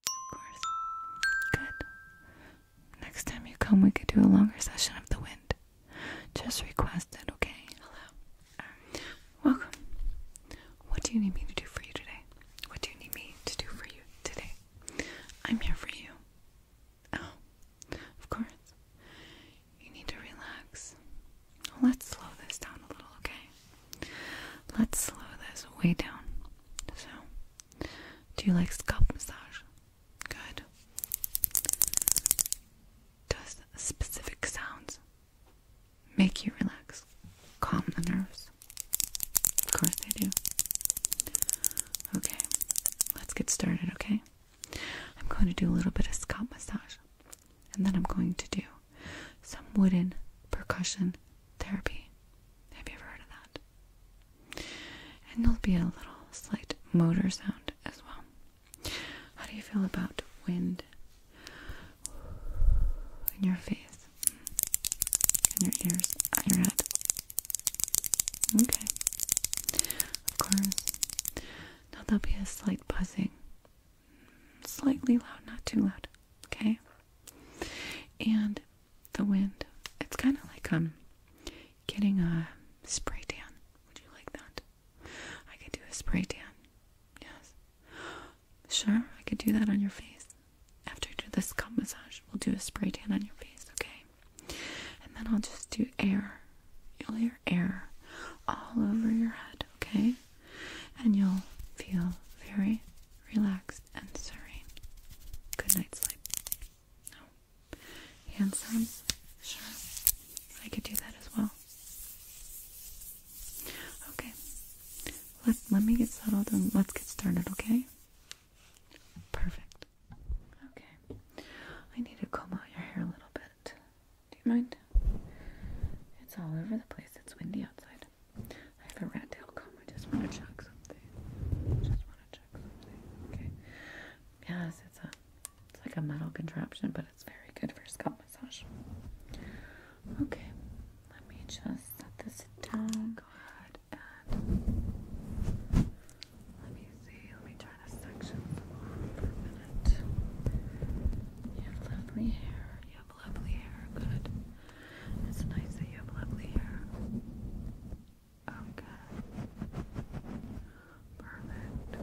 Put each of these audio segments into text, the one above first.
Of course. Good. Next time you come, we could do a longer session of the wind. Just request it, okay? Hello. Um, welcome. What do you need me to do for you today? What do you need me to do for you today? I'm here for you. Oh, of course. You need to relax. Let's slow this down a little, okay? Let's slow this way down. So, do you like scalp massage? Good. Does specific sounds make you relax? Calm the nerves? Of course they do. Okay, let's get started, okay? I'm going to do a little bit of scalp massage. And then I'm going to do some wooden percussion therapy. Have you ever heard of that? And there'll be a little slight motor sound as well. How do you feel about wind in your face, in your ears, on your head? Okay. Of course. Now there'll be a slight buzzing. Slightly loud, not too loud. Okay? And the wind. It's kind of like um getting a spray tan. Would you like that? I could do a spray tan. Yes. Sure, I could do that on your face. After I do this scalp massage, we'll do a spray tan on your face, okay? And then I'll just do air. You'll hear air all over your head, okay? And you'll feel very relaxed, and serene. Good night's sleep. No. Handsome? Sure. I could do that as well. Okay. Let, let me get settled and let's get started, okay? Perfect. Okay. I need to comb out your hair a little bit. Do you mind? It's all over the place. It's windy outside. I have a rat tail comb. I just want to check something. I just want to check something. Okay. Yes, it's a it's like a metal contraption, but it's very good for scalp massage. Okay. Let me just let this down. Go ahead and let me see. Let me try this section off for a minute. You have lovely hair have lovely hair. Good. It's nice that you have lovely hair. Okay. Oh, Perfect.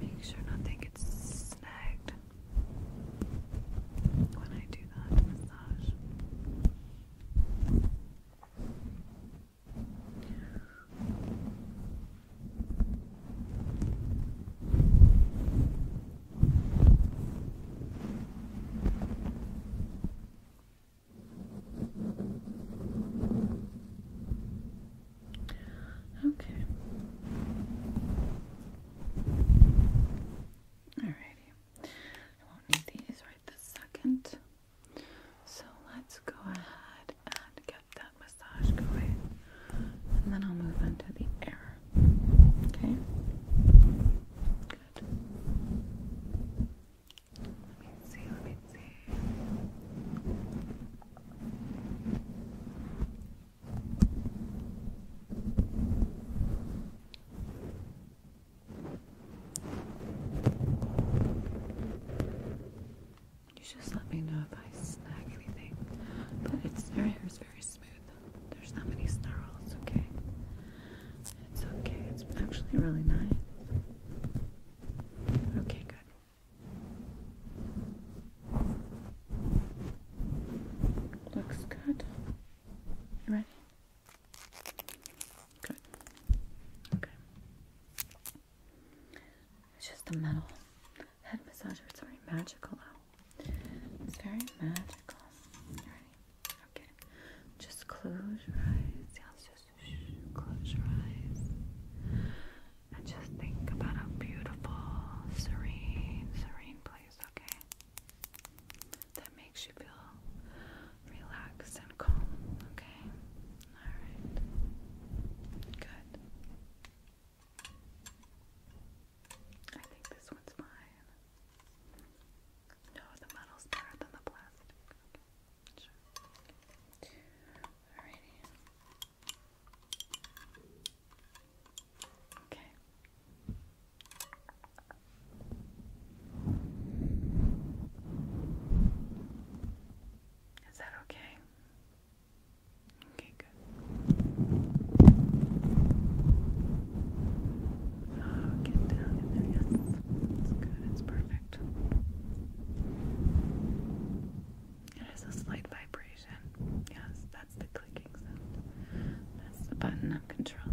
Make sure nothing gets snagged when I do that massage. Okay. Alrighty. I will these right this second. So let's go ahead and get that massage going. And then I'll move on to the air. Okay. Good. Let me see, let me see. You just let me know if I snag anything. But it's her very smooth. There's not many snarls, okay? It's okay. It's actually really nice. Okay, good. Looks good. ready? Good. Okay. It's just a metal head massager. It's very magical. It's very magical. Ready? Okay. Just close your eyes. Yeah, just close your eyes. And just think about a beautiful, serene, serene place, okay? That makes you feel relaxed and calm, okay? Alright. Good. I think this one's fine. No, the metal's better than the plastic. sure. Alrighty. Okay. Is that okay? Okay, good. Oh, a slight vibration. Yes, that's the clicking sound. That's the button I'm controlling.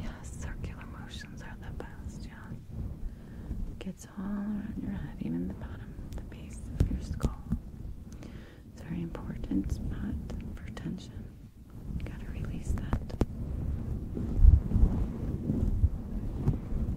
Yeah, circular motions are the best, yeah. gets all around your head, even the bottom, the base of your skull. It's very important spot for tension. gotta release that.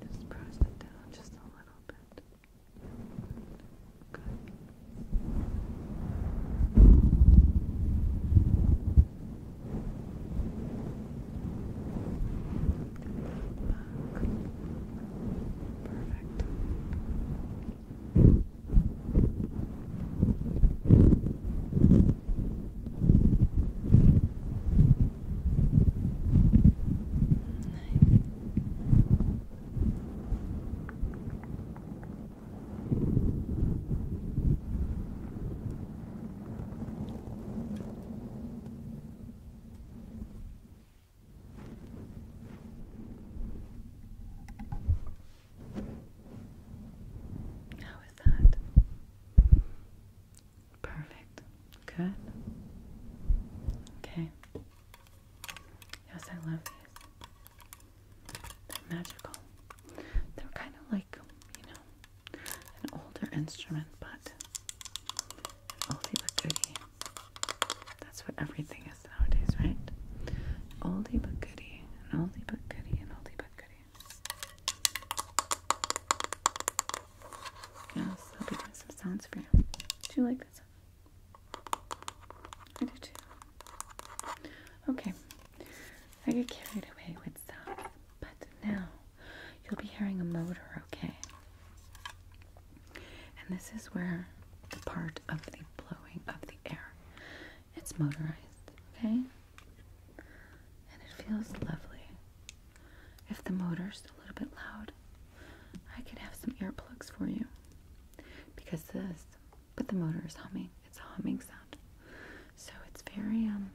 Just press it down just a little bit. Good. Perfect. How is that? Perfect. Good. Okay. Yes, I love these. They're magical. They're kind of like, you know, an older instrument, but oldie but goodie. That's what everything is nowadays, right? Oldie but goodie, an oldie but goodie, an oldie but goodie. Yes, I'll be doing some sounds for you. Do you like this? I do too. Okay, I get carried away with stuff, but now you'll be hearing a motor, okay? And this is where the part of the blowing of the air. It's motorized, okay? And it feels lovely. If the motor's a little bit loud, I could have some earplugs for you. Because this, but the motor is humming. It's a humming sound. So it's very, um,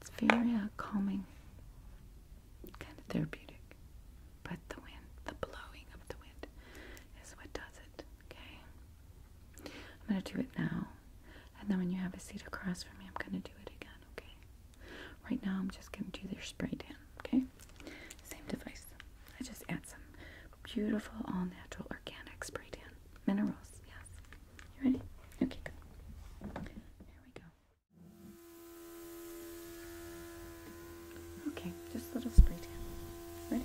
it's very uh, calming, kind of therapeutic. But the wind, the blowing of the wind is what does it, okay? I'm going to do it now. And then when you have a seat across from me, I'm going to do it again okay? Right now, I'm just going to do their spray tan, okay? Same device. I just add some beautiful, all natural, organic spray tan. Minerals, yes. You ready? Okay, good. Here we go. Okay, just a little spray tan. Ready?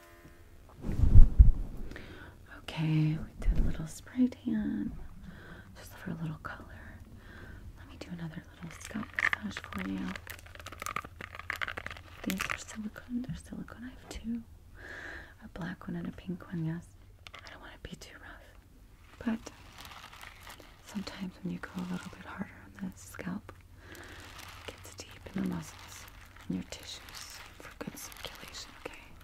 Okay, we did a little spray tan just for a little color. Let me do another little scalp massage for you. These are silicone, they're silicone. I have two a black one and a pink one, yes. I don't want to be too rough, but sometimes when you go a little bit harder on the scalp, it gets deep in the muscles and your tissues for good circulation, okay?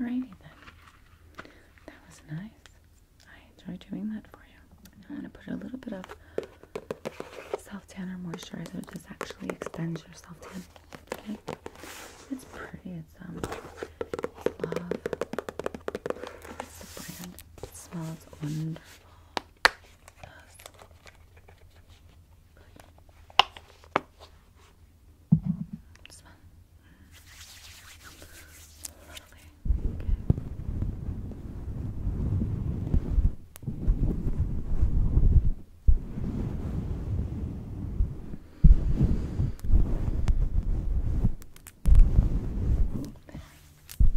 Alrighty then. That was nice. I enjoy doing that for you. I'm going to put a little bit of self tanner or moisturizer. just actually extends your self tan. Okay, it's pretty. It's um, it's love. It's the brand. It smells wonderful. Okay.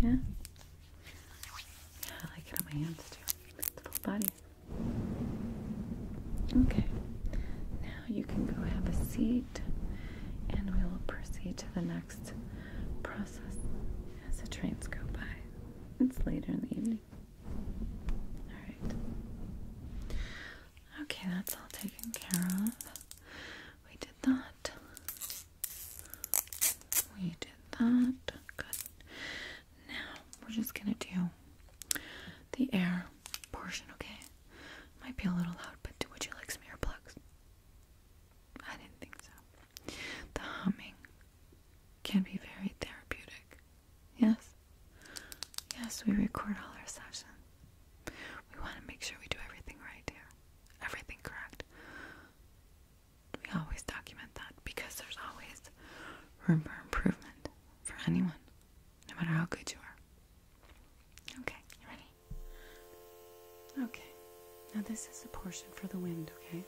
Yeah. Yeah, I like it on my hands too. It's full body. Okay. Now you can go have a seat and we will proceed to the next process as the trains go by. It's later in the evening. Alright. Okay, that's all taken care of. We did that. We did that. Good. Now we're just gonna do the air portion, okay? Might be a little loud, but do would you like some earplugs? I didn't think so. The humming can be very therapeutic. Yes? Yes, we record all our sessions. We want to make sure we do everything right here, everything correct. We always document that because there's always room for improvement for anyone, no matter how good you are. Okay, ready? Okay, now this is the portion for the wind, okay?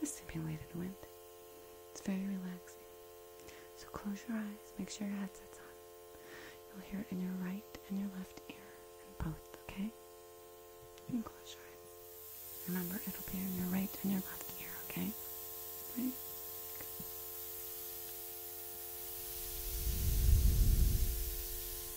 The simulated wind. It's very relaxing. So close your eyes, make sure your headset's on. You'll hear it in your right and your left ear, and both, okay? And close your eyes. Remember, it'll be in your right and your left ear, okay? Right?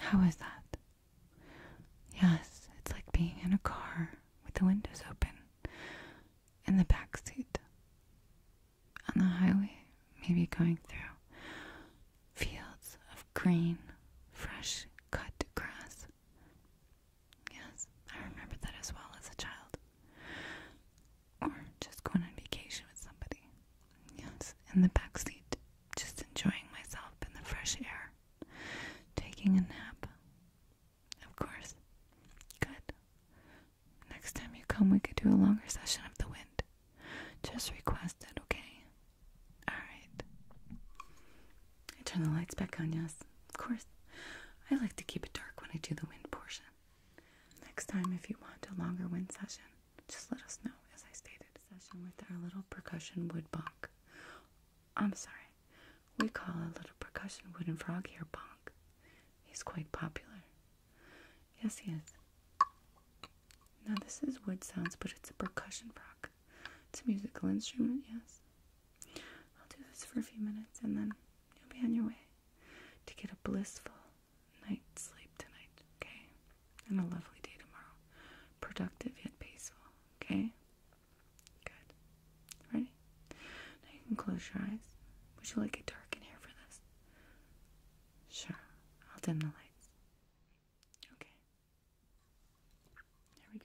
How is that? Yes, it's like being in a car with the windows open and the back seat on the highway, maybe going through fields of green, fresh cut grass. Yes, I remember that as well as a child. Or just going on vacation with somebody. Yes, in the back seat, just enjoying myself in the fresh air, taking a nap. Of course. Good. Next time you come, we could do a longer session of the wind. Just request it, okay? Alright. I turn the lights back on, yes. Of course. I like to keep it dark when I do the wind portion. Next time, if you want a longer wind session, just let us know, as I stated. Session with our little percussion wood bonk. I'm sorry. We call a little percussion wooden frog here bonk. He's quite popular. Yes, he is. Now, this is wood sounds, but it's a percussion rock. It's a musical instrument, yes. I'll do this for a few minutes and then you'll be on your way to get a blissful night's sleep tonight, okay? And a lovely day tomorrow. Productive yet peaceful, okay? Good. Ready? Now you can close your eyes. Would you like it dark in here for this? Sure. I'll dim the lights. Okay. There we go.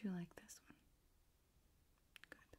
Do you like this one? Good.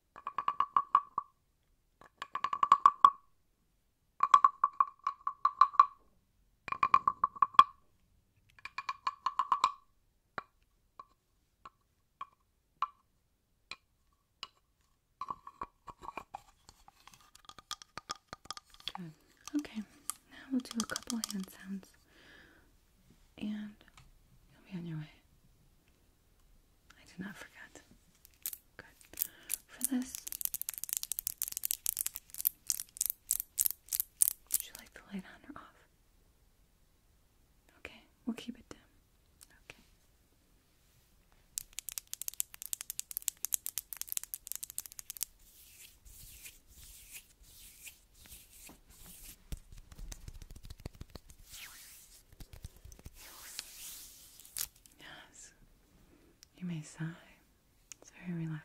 Good. Okay, now we'll do a couple hand sounds and you'll be on your way. I did not forget. Good. For this, would you like the light on or off? Okay, we'll keep it dim. Okay. Yes. You may sigh. It's very relaxing.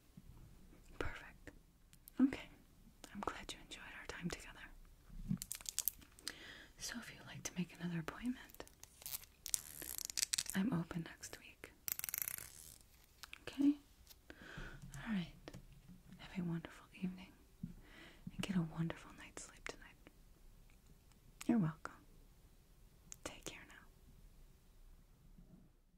Perfect. Okay. I'm glad you enjoyed our time together. So, if you'd like to make another appointment, I'm open next week. Okay? Alright. Have a wonderful evening and get a wonderful night's sleep tonight. You're welcome. Take care now.